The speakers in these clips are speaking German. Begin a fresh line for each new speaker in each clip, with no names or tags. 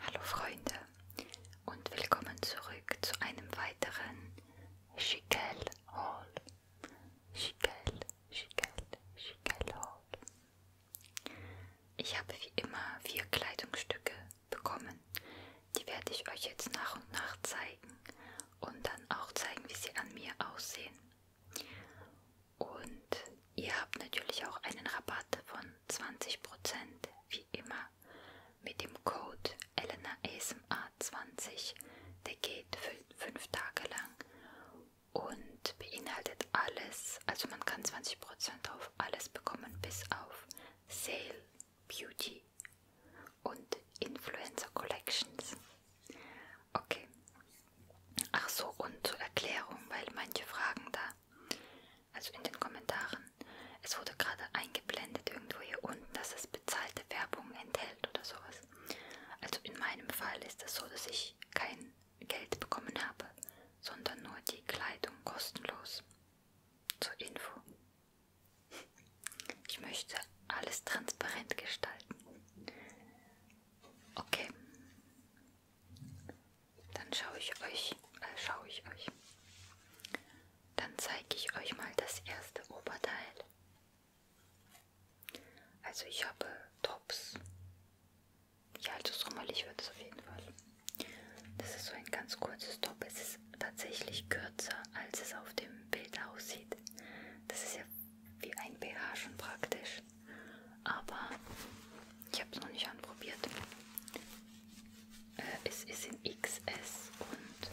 Hallo Freunde und willkommen zurück zu einem weiteren Schickel Hall. Schickel, Schickel, Schickel Hall. Ich habe wie immer vier Kleidungsstücke bekommen. Die werde ich euch jetzt nach und nach zeigen und dann auch zeigen, wie sie an mir aussehen. Und Ihr habt natürlich auch einen Rabatt von 20% wie immer mit dem Code ElenaASMR20. Der geht fünf Tage lang und beinhaltet alles. Also man kann 20% auf alles bekommen bis auf Sale, Beauty und Influencer Collections. Okay. Ach so, und zur Erklärung, weil manche fragen da, also in den Kommentaren. Es wurde gerade eingeblendet irgendwo hier unten, dass es bezahlte Werbung enthält oder sowas. Also in meinem Fall ist es so, dass ich kein Geld bekommen habe, sondern nur die Kleidung kostenlos. Zur Info. Ich möchte alles transparent gestalten. Okay. Dann schaue ich euch, äh, schaue ich euch. Dann zeige ich euch mal das erste Oberteil. Also ich habe Tops. Ja, also sommerlich wird es auf jeden Fall. Das ist so ein ganz kurzes Top. Es ist tatsächlich kürzer, als es auf dem Bild aussieht. Das ist ja wie ein BH schon praktisch aber ich habe es noch nicht anprobiert. Äh, es ist in XS und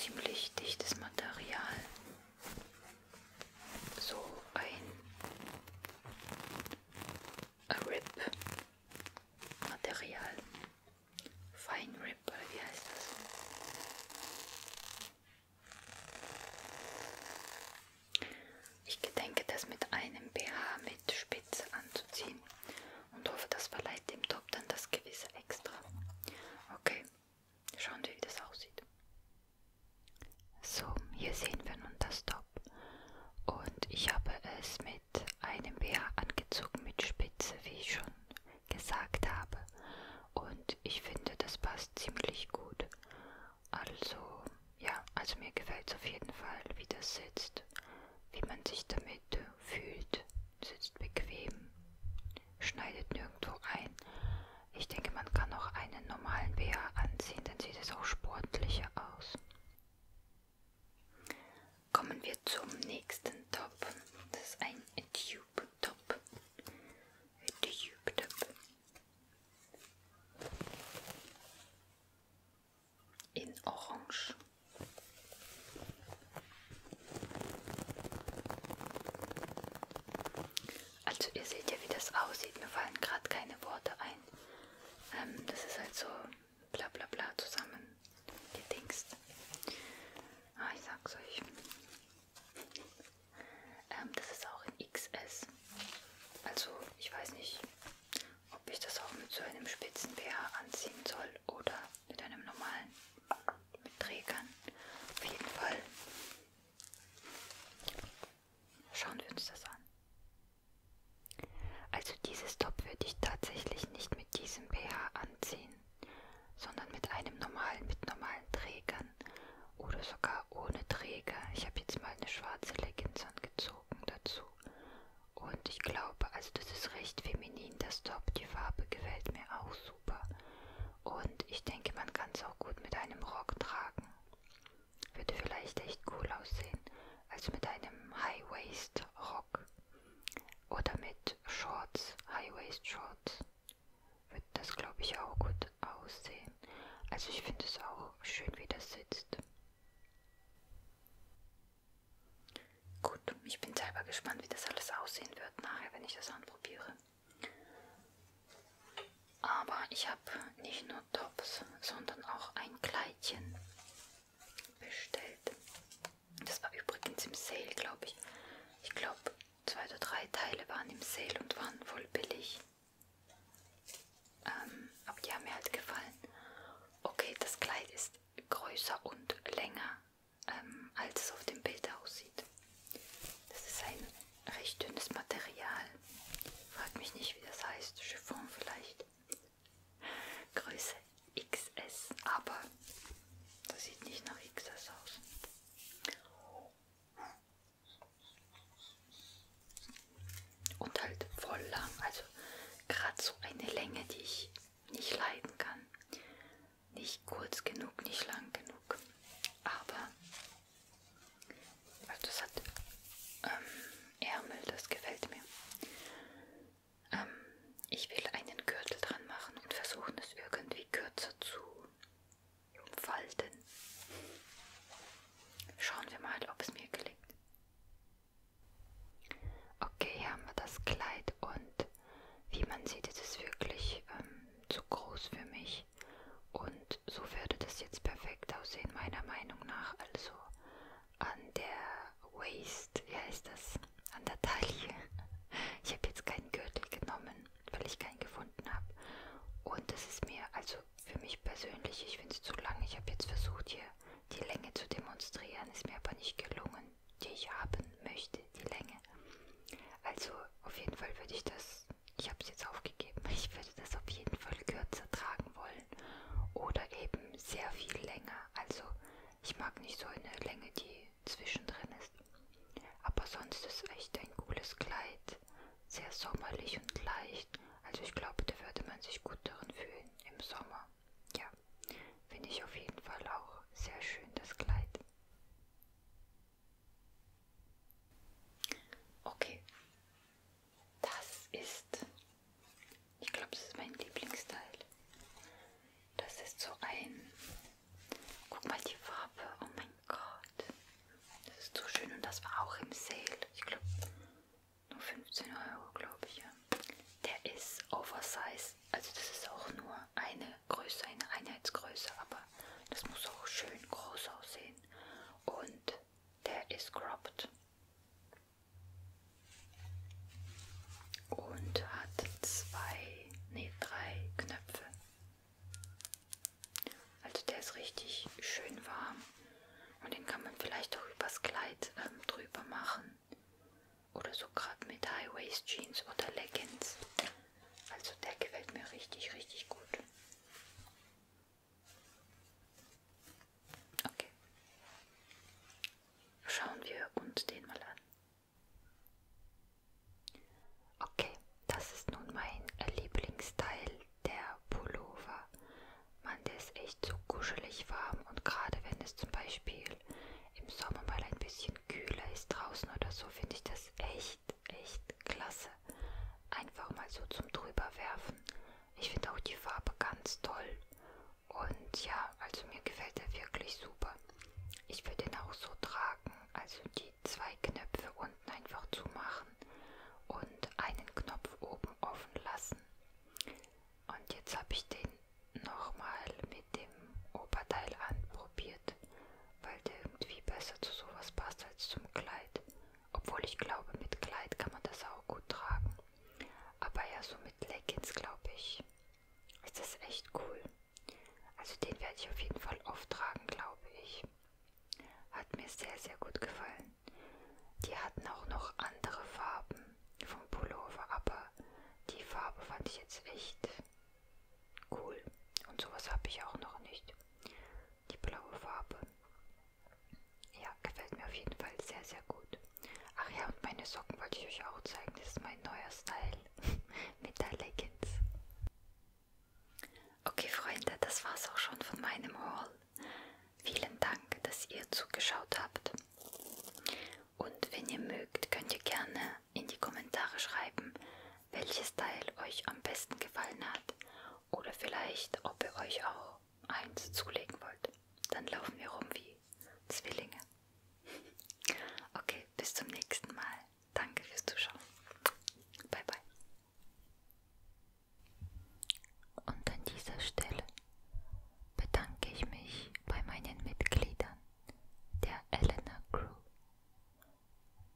ziemlich dichtes Material. So ein Rip-Material. Fine Rip oder wie heißt das? Ich gedenke, das mit einem BH mit Spitze anzuziehen und hoffe, das verleiht dem Top dann das gewisse Extra. Okay, schauen wir, wie das aussieht. So, hier sehen wir nun das Top. Und ich habe es mit einem BH angezogen mit Spitze, wie ich schon gesagt habe. Und ich finde, das passt ziemlich gut. Also ja, also mir gefällt es auf jeden Fall, wie das sitzt, wie man sich damit fühlt. Sitzt bequem, schneidet nirgendwo ein. Ich denke, man kann auch einen normalen BH anziehen, dann sieht es auch sportlicher aus. Kommen wir zum nächsten Top. Das ist ein Tube Top. Tube Top in Orange. Also ihr seht ja, wie das aussieht. Mir fallen gerade keine Worte ein. Ähm, das ist halt so bla bla bla zusammen gedingst. Ah, ich sag's euch. Ähm, das ist auch in XS. Also ich weiß nicht, ob ich das auch mit so einem spitzen BH anziehen soll oder mit einem normalen mit Trägern. Auf jeden Fall schauen wir uns das an. Also dieses Top würde ich tatsächlich nicht mit diesem BH anziehen, sondern mit einem normalen, mit normalen Trägern oder sogar ohne Träger. Ich habe jetzt mal eine schwarze Leggings angezogen dazu. Und ich glaube, also das ist recht feminin, das Top. Die Farbe gefällt mir auch super. Und ich denke, man kann es auch gut mit einem Rock tragen. Würde vielleicht echt cool aussehen. Also mit einem High-Waist-Rock. Oder mit Shorts, High-Waist-Shorts wird das, glaube ich, auch gut aussehen. Also ich finde es auch schön, wie das sitzt. Gut, ich bin selber gespannt, wie das alles aussehen wird nachher, wenn ich das anprobiere. Aber ich habe nicht nur Tops, sondern auch ein Kleidchen bestellt. Das war übrigens im Sale, glaube ich. Ich glaube, zwei oder drei Teile waren im Sale und waren voll billig. Ähm, aber die haben mir halt gefallen. Okay, das Kleid ist größer und länger, ähm, als es auf dem Bild aussieht. Das ist ein recht dünnes Material. Frag mich nicht, wie das heißt. Chiffon vielleicht. Größe XS, aber das sieht nicht nach XS aus. Und halt voll lang, also gerade so eine Länge, die ich nicht leiden kann. Nicht kurz genug, nicht lang genug. Aber also das hat ähm, Ärmel, das gefällt mir. Ähm, ich will einen Gürtel dran machen und versuchen es irgendwie kürzer zu falten. Schauen wir mal, ob es mir gelingt. Okay, hier haben wir das Kleid und wie man sieht, ist es wirklich ähm, zu groß für mich. Und so würde das jetzt perfekt aussehen, meiner Meinung nach. Also an der Waist, wie heißt das? An der Taille. Ich habe jetzt keinen Gürtel genommen, weil ich keinen gefunden habe. Und das ist mir, also für mich persönlich, ich finde es zu lang. Ich habe jetzt versucht, hier die Länge zu demonstrieren, ist mir aber nicht gelungen, die ich haben möchte, die Länge. Also auf jeden Fall würde ich das, ich habe es jetzt aufgegeben, ich würde das auf jeden Fall kürzer tragen wollen oder eben sehr viel länger. Also ich mag nicht so eine Länge, die zwischendrin ist. Aber sonst ist echt ein cooles Kleid. Sehr sommerlich und leicht. Also ich glaube, da würde man sich gut darin fühlen im Sommer. Ja, finde ich auf jeden Fall auch sehr schön, das Kleid. Okay, das ist, ich glaube, das ist mein Lieblingsteil. Das ist so ein Guck mal die Farbe. Oh mein Gott. Das ist so schön und das war auch im Sale. Ich glaube, nur 15 Euro, glaube ich. Ja. Der ist Oversize. Also das ist auch nur eine Größe, eine Einheitsgröße, aber das muss auch schön groß aussehen. Und der ist cropped. Und hat zwei, nee, drei Knöpfe. Also der ist richtig schön warm und den kann man vielleicht auch übers Kleid ähm, drüber machen oder so gerade mit High-Waist Jeans oder Leggings. Also der gefällt mir richtig, richtig gut. Okay. Schauen wir uns den mal an. Okay, das ist nun mein Lieblingsteil der Pullover. Man, der ist echt so kuschelig warm und gerade wenn es zum Beispiel im Sommer mal ein bisschen kühler ist draußen oder so, finde ich das echt, echt klasse. Einfach mal so zum drüberwerfen. Ich finde auch die Farbe ganz toll. Und ja, also mir gefällt er wirklich super. Ich will den auch so tragen, also die zwei Knöpfe unten einfach zumachen und einen Knopf oben offen lassen. Und jetzt habe ich den nochmal mit dem Oberteil anprobiert, weil der irgendwie besser zu sowas passt als zum Kleid. Obwohl ich glaube, mit Kleid kann man das auch gut tragen. Aber ja, so mit Leggings, glaube ich, ist das echt cool. Also den werde ich auf jeden Fall auftragen, glaube ich. Hat mir sehr, sehr gut gefallen. Die hatten auch noch andere Farben vom Pullover, aber die Farbe fand ich jetzt echt cool. Und sowas habe ich auch noch nicht. Die blaue Farbe. Ja, gefällt mir auf jeden Fall sehr, sehr gut. Ach ja, und meine Socken wollte ich euch auch zeigen. Das ist mein neuer Style. mit der Leggings. Okay Freunde, das war's auch schon von meinem Haul. Vielen Dank, dass ihr zugeschaut habt. Und wenn ihr mögt, könnt ihr gerne in die Kommentare schreiben, welches Teil euch am besten gefallen hat oder vielleicht, ob ihr euch auch eins zulegen wollt. Dann laufen wir rum wie Zwillinge. Okay, bis zum nächsten Mal. Danke fürs Zuschauen. Bye bye. Und an dieser Stelle bedanke ich mich bei meinen Mitgliedern der Elena Crew.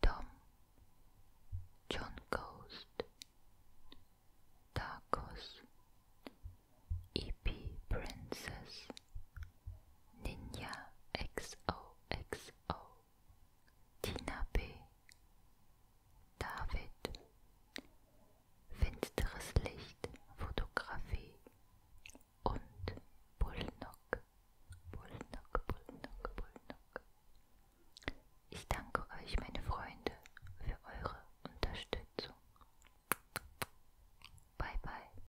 Tom, John Ghost, Darkos, EP Princess, Ninja XOXO, Tina B, David, Finsteres Licht, Fotografie und Bullnock, Bullnock, Bullnock, Bullnock. Ich danke euch, meine Freunde, für eure Unterstützung. Bye bye.